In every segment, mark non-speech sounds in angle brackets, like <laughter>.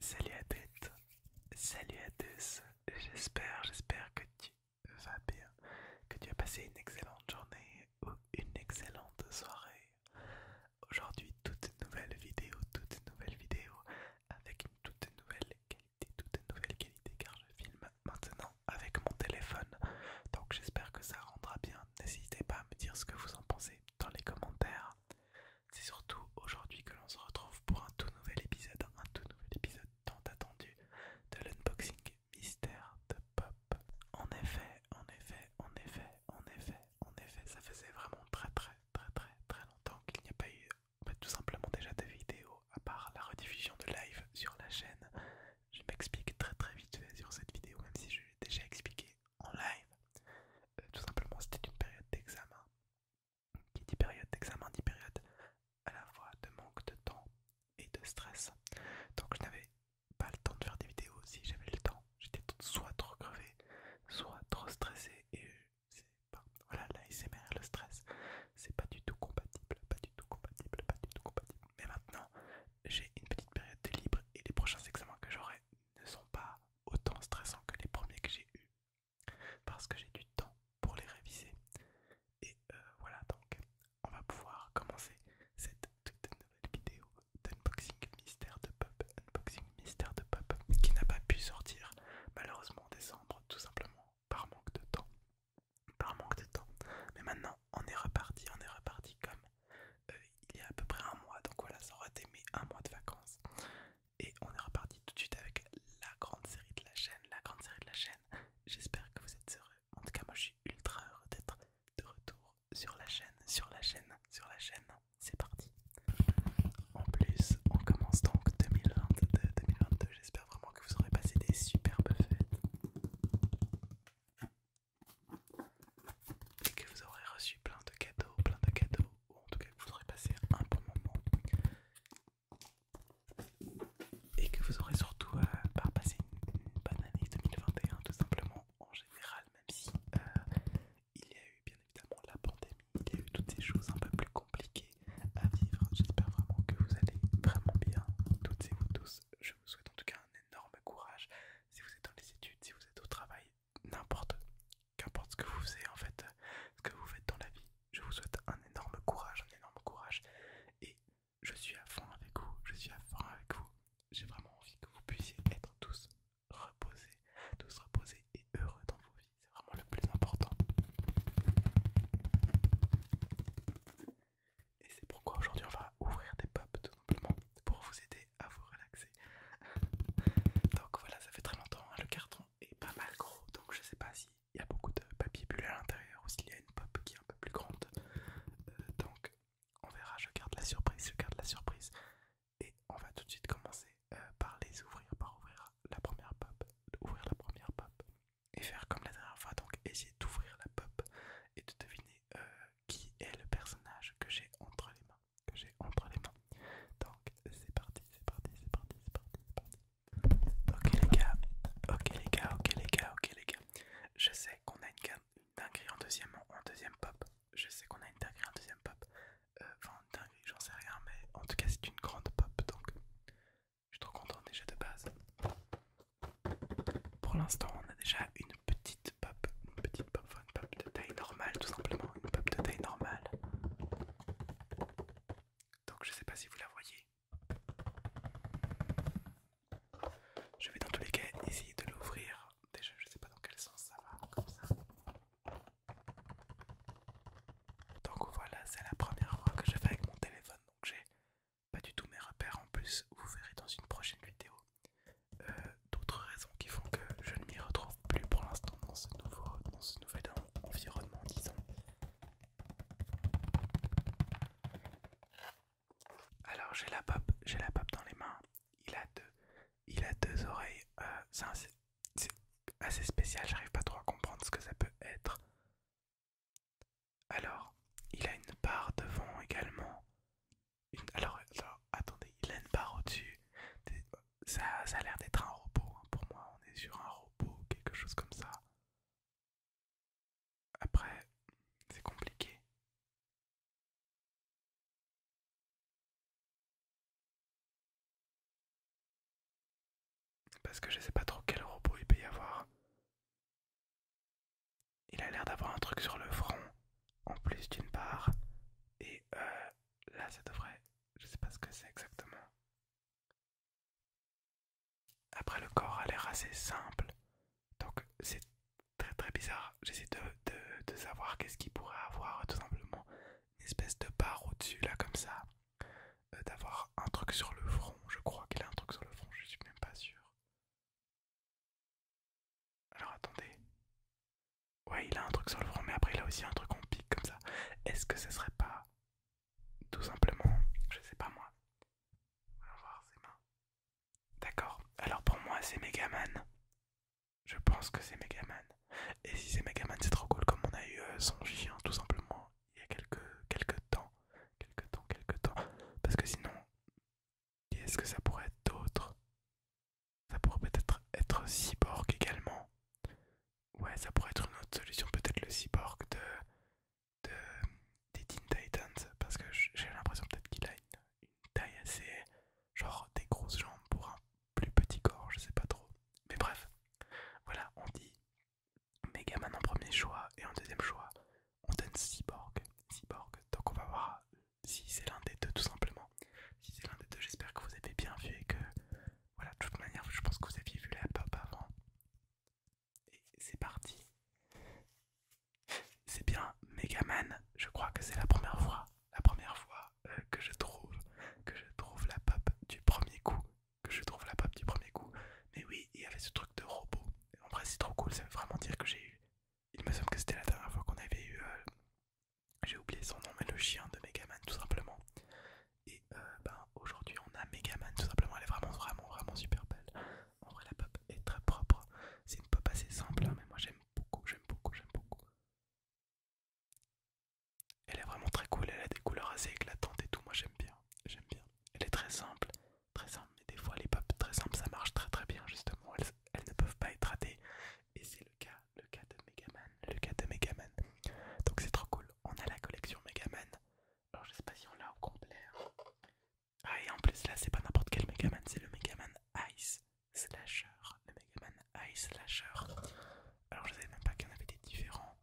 Salut à tête, salut à tous, j'espère, j'espère que tu vas bien, que tu as passé une excellente journée ou une excellente soirée. Aujourd'hui, toute nouvelle vidéo, toute nouvelle vidéo, avec une toute nouvelle qualité, toute nouvelle qualité, car je filme maintenant avec mon téléphone, donc j'espère que ça rendra bien. N'hésitez pas à me dire ce que vous en pensez dans les commentaires. C'est surtout aujourd'hui que l'on se retrouve pour un tout nouvel épisode, un tout nouvel épisode tant attendu de l'unboxing mystère de Pop. En effet, en effet, en effet, en effet, en effet, ça faisait vraiment très très très très très longtemps qu'il n'y a pas eu bah, tout simplement déjà de vidéo à part la rediffusion de live sur la chaîne. Je m'explique très très vite sur cette vidéo, même si je l'ai déjà expliqué en live. Euh, tout simplement, c'était une période d'examen. Qui dit période d'examen dit période à la fois de manque de temps et de stress. Donc je n'avais pas le temps de faire des vidéos. Si j'avais le temps, j'étais soit trop crevé, soit trop stressé. Et pas, voilà, l'ASMR, le stress, c'est pas du tout compatible, pas du tout compatible, pas du tout compatible. Mais maintenant, j'ai une petite période de libre et les prochains examens que j'aurai ne sont pas autant stressant que les premiers que j'ai eu parce que j'ai du temps pour les réviser. Et euh, voilà donc, on va pouvoir commencer cette toute nouvelle vidéo d'unboxing mystère de pop, unboxing mystère de pop qui n'a pas pu sortir malheureusement en décembre tout simplement par manque de temps. Par manque de temps. Mais maintenant on est reparti, on est reparti comme euh, il y a à peu près un mois, donc voilà, ça aurait mes un mois de vacances. Et on est reparti tout de suite avec la grande série de la chaîne, la grande série de la chaîne. J'espère que vous êtes heureux. En tout cas, moi je suis ultra heureux d'être de retour sur la chaîne, sur la chaîne, sur la chaîne. C'est parti. En plus, on commence donc 2022 J'espère vraiment que vous aurez passé des superbes fêtes. Et que vous aurez reçu plein de cadeaux, plein de cadeaux, ou en tout cas que vous aurez passé un bon moment et que vous aurez surtout par passé une bonne année 2021 tout simplement en général même si euh, il y a eu bien évidemment la pandémie, il y a eu toutes ces choses un peu plus compliquées à vivre. J'espère vraiment que vous allez vraiment bien toutes et vous tous. Je vous souhaite en tout cas un énorme courage si vous êtes dans les études, si vous êtes au travail, n'importe qu'importe ce que vous faites en fait, ce que vous faites dans la vie, je vous souhaite un énorme courage, un énorme courage. Et je suis à fond avec vous, je suis à fond avec vous. J'ai vraiment envie que vous puissiez être tous reposés, tous reposés et heureux dans vos vies. C'est vraiment le plus important. Et c'est pourquoi aujourd'hui on va ouvrir des pubs tout simplement pour vous aider à vous relaxer. <laughs> Donc voilà, ça fait très longtemps hein, le carton et pas mal gros, donc je sais pas s'il y a beaucoup de papier bulle à l'intérieur ou s'il y a une pop qui est un peu plus grande. Euh, donc on verra, je garde la surprise, je garde la surprise. Et on va tout de suite commencer euh, par les ouvrir, par ouvrir la première pop, ouvrir la première pop et faire comme la dernière fois, donc essayer d'ouvrir la pop et de deviner euh, qui est le personnage que j'ai entre les mains que j'ai entre les mains. Donc c'est parti, c'est parti, c'est parti, c'est parti, Ok les gars, ok les gars, ok les gars, ok les gars. Je sais qu'on a une, dinguerie en deuxième, en deuxième pop. Je sais qu'on a une dinguerie en deuxième pop. Euh, enfin une dinguerie, j'en sais rien, mais en tout cas c'est une grande pop, donc je suis trop content déjà de base. Pour l'instant on a déjà une petite pop, une petite pop, enfin une pop de taille normale tout simplement, une pop de taille normale. Donc je sais pas si vous la voyez. Je vais dans tous les cas essayer de l'ouvrir. Déjà je sais pas dans quel sens ça va, comme ça. Donc voilà, c'est la première fois que je fais avec mon téléphone. Donc j'ai pas du tout mes repères en plus. Vous verrez dans une prochaine vidéo euh, d'autres raisons qui font que je ne m'y retrouve plus pour l'instant dans ce nouveau, dans ce environnement, disons. Alors j'ai la pop, j'ai la dans les mains. Il a deux, il a deux oreilles. Euh, c'est assez spécial. J'arrive pas trop à comprendre ce que ça peut être. Alors, il a une barre devant également. alors, alors, attendez, il a une barre au-dessus ça, a l'air d'être un robot. Hein. Pour moi, on est sur un robot, quelque chose comme ça. Après, c'est compliqué. Parce que je sais pas trop quel robot il peut y avoir. Il a l'air d'avoir un truc sur le front, en plus d'une part. Et euh, là, ça devrait je sais pas ce que c'est exactement. Après, le corps a l'air assez simple. Donc, c'est très très bizarre. J'essaie de, savoir qu'est-ce qu'il pourrait avoir, tout simplement. Une espèce de barre au-dessus, là, comme ça. Euh, d'avoir un truc sur le front. Je crois qu'il a un truc sur le front, je suis même pas sûr. Alors, attendez. Ouais, il a un truc sur le front, mais après il a aussi un truc en pique comme ça. Est-ce que ce serait pas tout simplement, je sais pas moi. va voir ses mains. D'accord. Alors pour moi, c'est Megaman. Je pense que c'est Megaman. Et si c'est Megaman, c'est trop cool comme on a eu euh, son chien tout simplement il y a quelques quelques temps, quelques temps, quelques temps. Parce que sinon, est-ce que ça pourrait être d'autres Ça pourrait peut-être être Cyborg également. Ouais, ça pourrait être une autre solution, peut-être le cyborg de, de, des Teen Titans, parce que j'ai l'impression peut-être qu'il a une, taille assez, genre des grosses jambes pour un plus petit corps, je sais pas trop. Mais bref, voilà, on dit Megaman en premier choix et en deuxième choix, on donne Cyborg. Cyborg, donc on va voir si c'est l'un des deux tout simplement. Si c'est l'un des deux, j'espère que vous avez bien vu et que voilà, de toute manière, je pense que vous aviez vu la pop avant. Et c'est parti. C'est bien Megaman, je crois que c'est la première fois, la première fois euh, que je trouve que je trouve la pop du premier coup, que je trouve la pop du premier coup. Mais oui, il y avait ce truc de robot. En vrai, c'est trop cool, ça veut vraiment dire que j'ai eu. Il me semble que c'était la dernière fois qu'on avait eu euh, j'ai oublié son nom, mais le chien de Megaman tout simplement. Et euh, ben, aujourd'hui, on a Megaman tout simplement. Elle est vraiment, vraiment, vraiment super belle. En vrai, la pop est très propre. C'est une pop assez simple, hein, mais moi j'aime beaucoup, j'aime beaucoup, j'aime beaucoup. Elle est vraiment très cool. Elle a des couleurs assez éclatantes et tout. Moi j'aime bien, j'aime bien. Elle est très simple, très simple. Mais des fois, les pop très simples, ça marche très, très bien justement. elles ne peuvent pas être ratées, et c'est le cas le cas de Megaman, le cas de Megaman. Donc c'est trop cool. On a la collection Megaman. Alors je sais pas si on l'a au complet. Hein. Ah et en plus là c'est pas n'importe quel Megaman, c'est le Megaman Ice Slasher, le Megaman Ice Slasher. Alors je savais même pas qu'il y en avait des différents.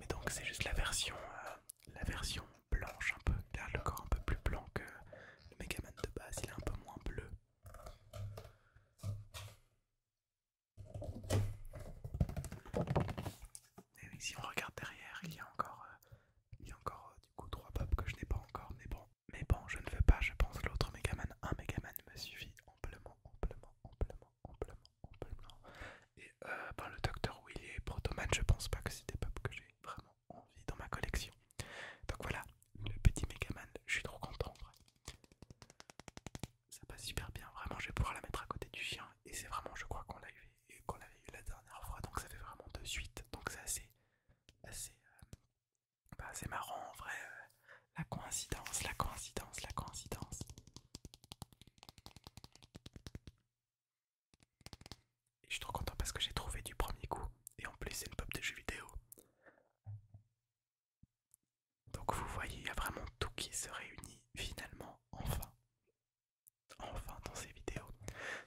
Mais donc c'est juste la version, euh, la version blanche un peu. car le corps un peu plus blanc que le Megaman de base. Il est un peu moins bleu. Et eh si on regarde derrière, il y a encore, euh, il y a encore euh, du coup trois pop que je n'ai pas encore, mais bon, mais bon, je ne veux pas, je pense l'autre Megaman, un Megaman me suffit amplement, amplement, amplement, amplement, amplement. Et euh, ben, le Docteur Willy et Protoman, je pense pas que c'est des pop que j'ai vraiment envie dans ma collection. Donc voilà, le petit Megaman, je suis trop content. En vrai ça passe super bien. Vraiment, je vais pouvoir la mettre à côté du chien. Et c'est vraiment, je crois qu'on l'avait eu, eu la dernière fois. Donc ça fait vraiment de suite. Donc c'est assez, assez, euh, bah, assez marrant en vrai. Euh, la coïncidence, la coïncidence, la coïncidence. Et je suis trop content parce que j'ai trouvé du premier coup. Et en plus, c'est une pop de jeux vidéo. Donc vous voyez, il y a vraiment tout qui se réunit finalement enfin. Enfin dans ces vidéos.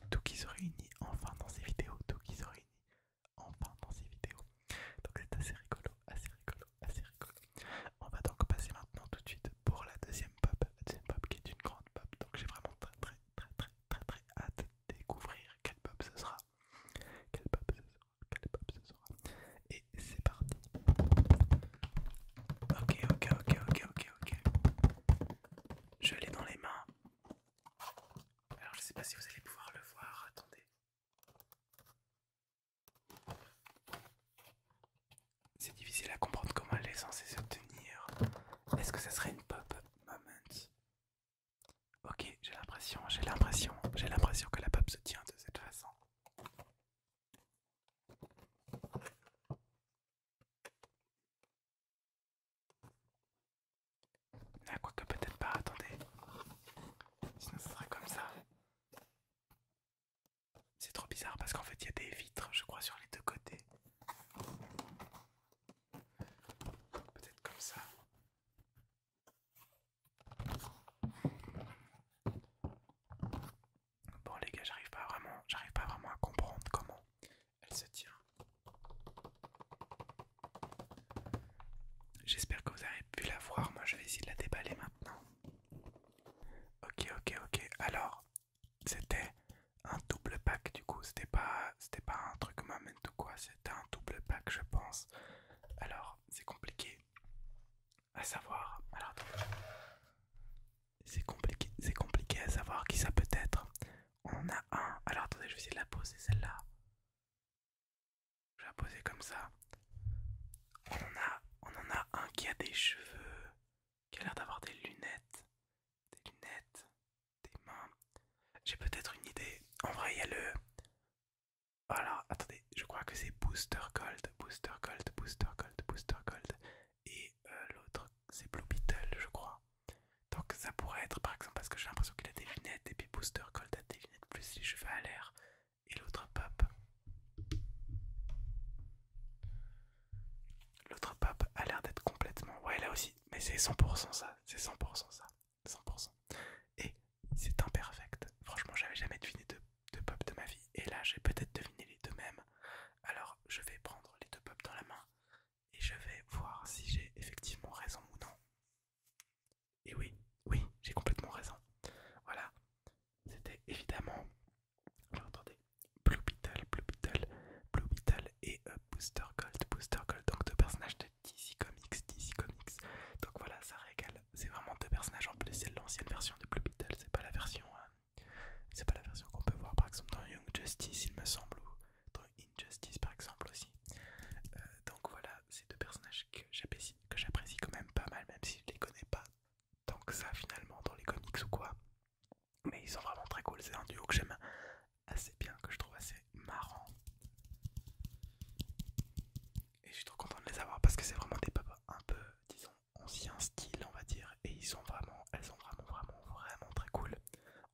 Tout qui se réunit enfin dans ces vidéos. Tout qui se réunit enfin dans ces vidéos. Donc c'est assez rigolo, assez rigolo, assez rigolo. On va donc passer maintenant tout de suite pour la deuxième pub, La deuxième pop qui est une grande pop. Donc j'ai vraiment très très très très très très hâte de découvrir quelle pub ce sera. Quelle pub ce sera. Et c'est parti Ok, ok, ok, ok, ok, ok. Je l'ai dans les mains. Alors je sais pas si vous allez pouvoir le voir, attendez. C'est difficile à comprendre comment elle est censée se tenir. Est-ce que ça serait une pop moment Ok, j'ai l'impression, j'ai l'impression, j'ai l'impression que la pop se tient de cette façon. Ah, quoi que peut-être pas, attendez. Sinon ce serait comme ça. C'est trop bizarre parce qu'en fait il y a des vitres, je crois, sur les deux côtés. Peut-être comme ça. Bon les gars, j'arrive pas vraiment, j'arrive pas vraiment à comprendre comment elle se tient. J'espère que vous avez pu la voir. Moi, je vais essayer de la déballer maintenant. Ok, ok, ok. Alors, c'était un double pack du coup. C'était pas, c'était pas un truc moment ou quoi. C'était un double pack, je pense. Alors, c'est compliqué à savoir. Alors C'est compliqué, c'est compliqué à savoir qui ça peut être. On en a un. Alors attendez, je vais essayer de la poser celle-là. Je vais la poser comme ça. On en a, on en a un qui a des cheveux, qui a l'air d'avoir des lunettes, des lunettes, des mains. J'ai peut-être une idée. En vrai, il y a le alors, attendez, je crois que c'est Booster Gold, Booster Gold, Booster Gold, Booster Gold. Et euh, l'autre, c'est Blue Beetle, je crois. Donc ça pourrait être, par exemple, parce que j'ai l'impression qu'il a des lunettes, et puis Booster Gold a des lunettes plus les cheveux à l'air, et l'autre pop. L'autre pop a l'air d'être complètement... Ouais, là aussi, mais c'est 100% ça, c'est 100% ça, 100%. Et c'est imperfect. Franchement, j'avais jamais deviné de deux pop de ma vie. Et là, j'ai peut-être deviné les deux mêmes. Alors, je vais prendre les deux pop dans la main et je vais voir si j'ai effectivement raison ou non. Et oui, oui, j'ai complètement raison. Voilà, c'était évidemment. Alors, attendez, Blue Beetle, Blue Beetle, Blue Beetle et euh, Booster Gold, Booster Gold, donc deux personnages de DC Comics, DC Comics. Donc voilà, ça régale c'est vraiment deux personnages en plus. C'est l'ancienne version de Blue Beetle, c'est pas la version, euh, c'est pas la version qu'on peut voir par exemple dans Young Justice, il me semble, ou dans Injustice par exemple aussi. Euh, donc voilà, c'est deux personnages que j'apprécie, quand même pas mal, même si je les connais pas tant que ça finalement dans les comics ou quoi. Mais ils sont vraiment très cool. C'est un duo que j'aime assez bien, que je trouve assez marrant. Et je suis trop content de les avoir parce que c'est vraiment des papas un peu, disons, ancien style on va dire et ils sont vraiment elles sont vraiment vraiment vraiment très cool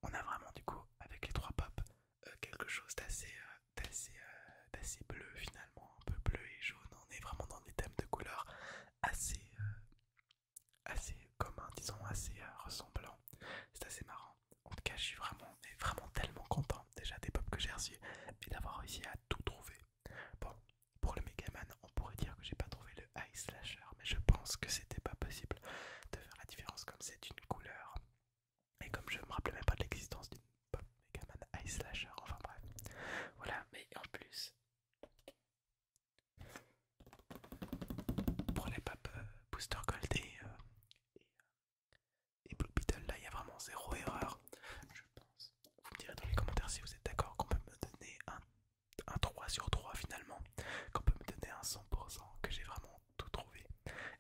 on a vraiment du coup avec les trois pops, euh, quelque chose d'assez euh, euh, d'assez bleu finalement un peu bleu et jaune on est vraiment dans des thèmes de couleurs assez assez communs disons assez ressemblants c'est assez marrant en tout cas je suis vraiment et vraiment tellement content déjà des pops que j'ai reçus et d'avoir réussi à tout trouver pour le Megaman, on pourrait dire que j'ai pas trouvé le Ice slasher, mais je pense que c'était pas possible de faire la différence comme c'est une couleur. Et comme je me rappelais même pas de l'existence d'une pop Megaman Ice slasher, enfin bref. Voilà, mais en plus, pour les Pop Booster Gold et, euh, euh, et Blue Beetle, là il y a vraiment zéro erreur, je pense. Vous me direz dans les commentaires si vous êtes d'accord qu'on peut me donner un, un 3 sur 3 finalement, qu'on peut me donner un 100%, que j'ai vraiment tout trouvé.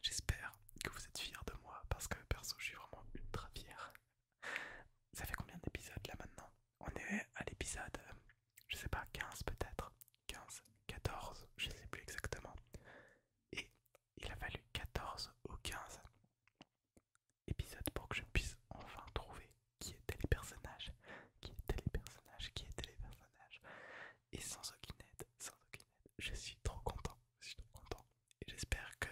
J'espère que vous êtes fiers de moi parce que perso je suis vraiment ultra fier. Ça fait combien d'épisodes là maintenant On est à l'épisode, je sais pas, 15 peut-être 15, 14, je sais plus exactement. Et il a fallu 14 ou 15 épisode pour que je puisse enfin trouver qui étaient les personnages, qui étaient les personnages, qui étaient les personnages. Et sans aucune aide, sans aucune aide, je suis trop content, je suis trop content. Et j'espère que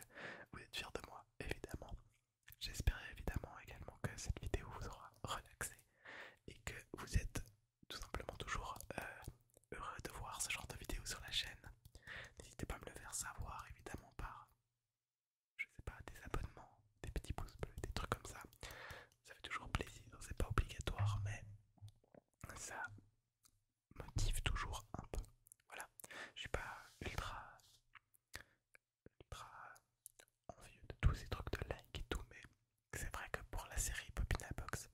vous êtes fiers de moi, évidemment. J'espère évidemment également que cette vidéo vous aura relaxé et que vous êtes tout simplement toujours euh, heureux de voir ce genre de vidéo sur la chaîne. N'hésitez pas à me le faire savoir évidemment par je sais pas, des abonnements, des petits pouces bleus, des trucs comme ça. Ça fait toujours plaisir, c'est pas obligatoire, mais ça motive toujours un peu. Voilà, je suis pas ultra, ultra envieux de tous ces trucs de likes et tout, mais c'est vrai que pour la série Popina Box,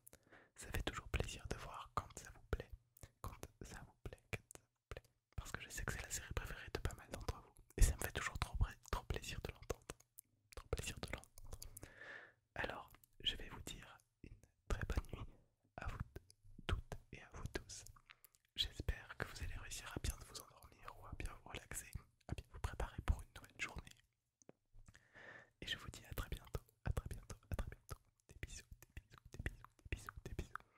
ça fait toujours plaisir de voir quand ça vous plaît, quand ça vous plaît, parce que je sais que c'est la série préférée de pas mal d'entre vous. Et ça me fait toujours trop, trop plaisir de l'entendre. Trop plaisir de l'entendre. Alors, je vais vous dire une très bonne nuit à vous toutes et à vous tous. J'espère que vous allez réussir à bien vous endormir ou à bien vous relaxer, à bien vous préparer pour une nouvelle journée. Et je vous dis à très bientôt, à très bientôt, à très bientôt. Des bisous, des bisous, des bisous, des bisous, des bisous.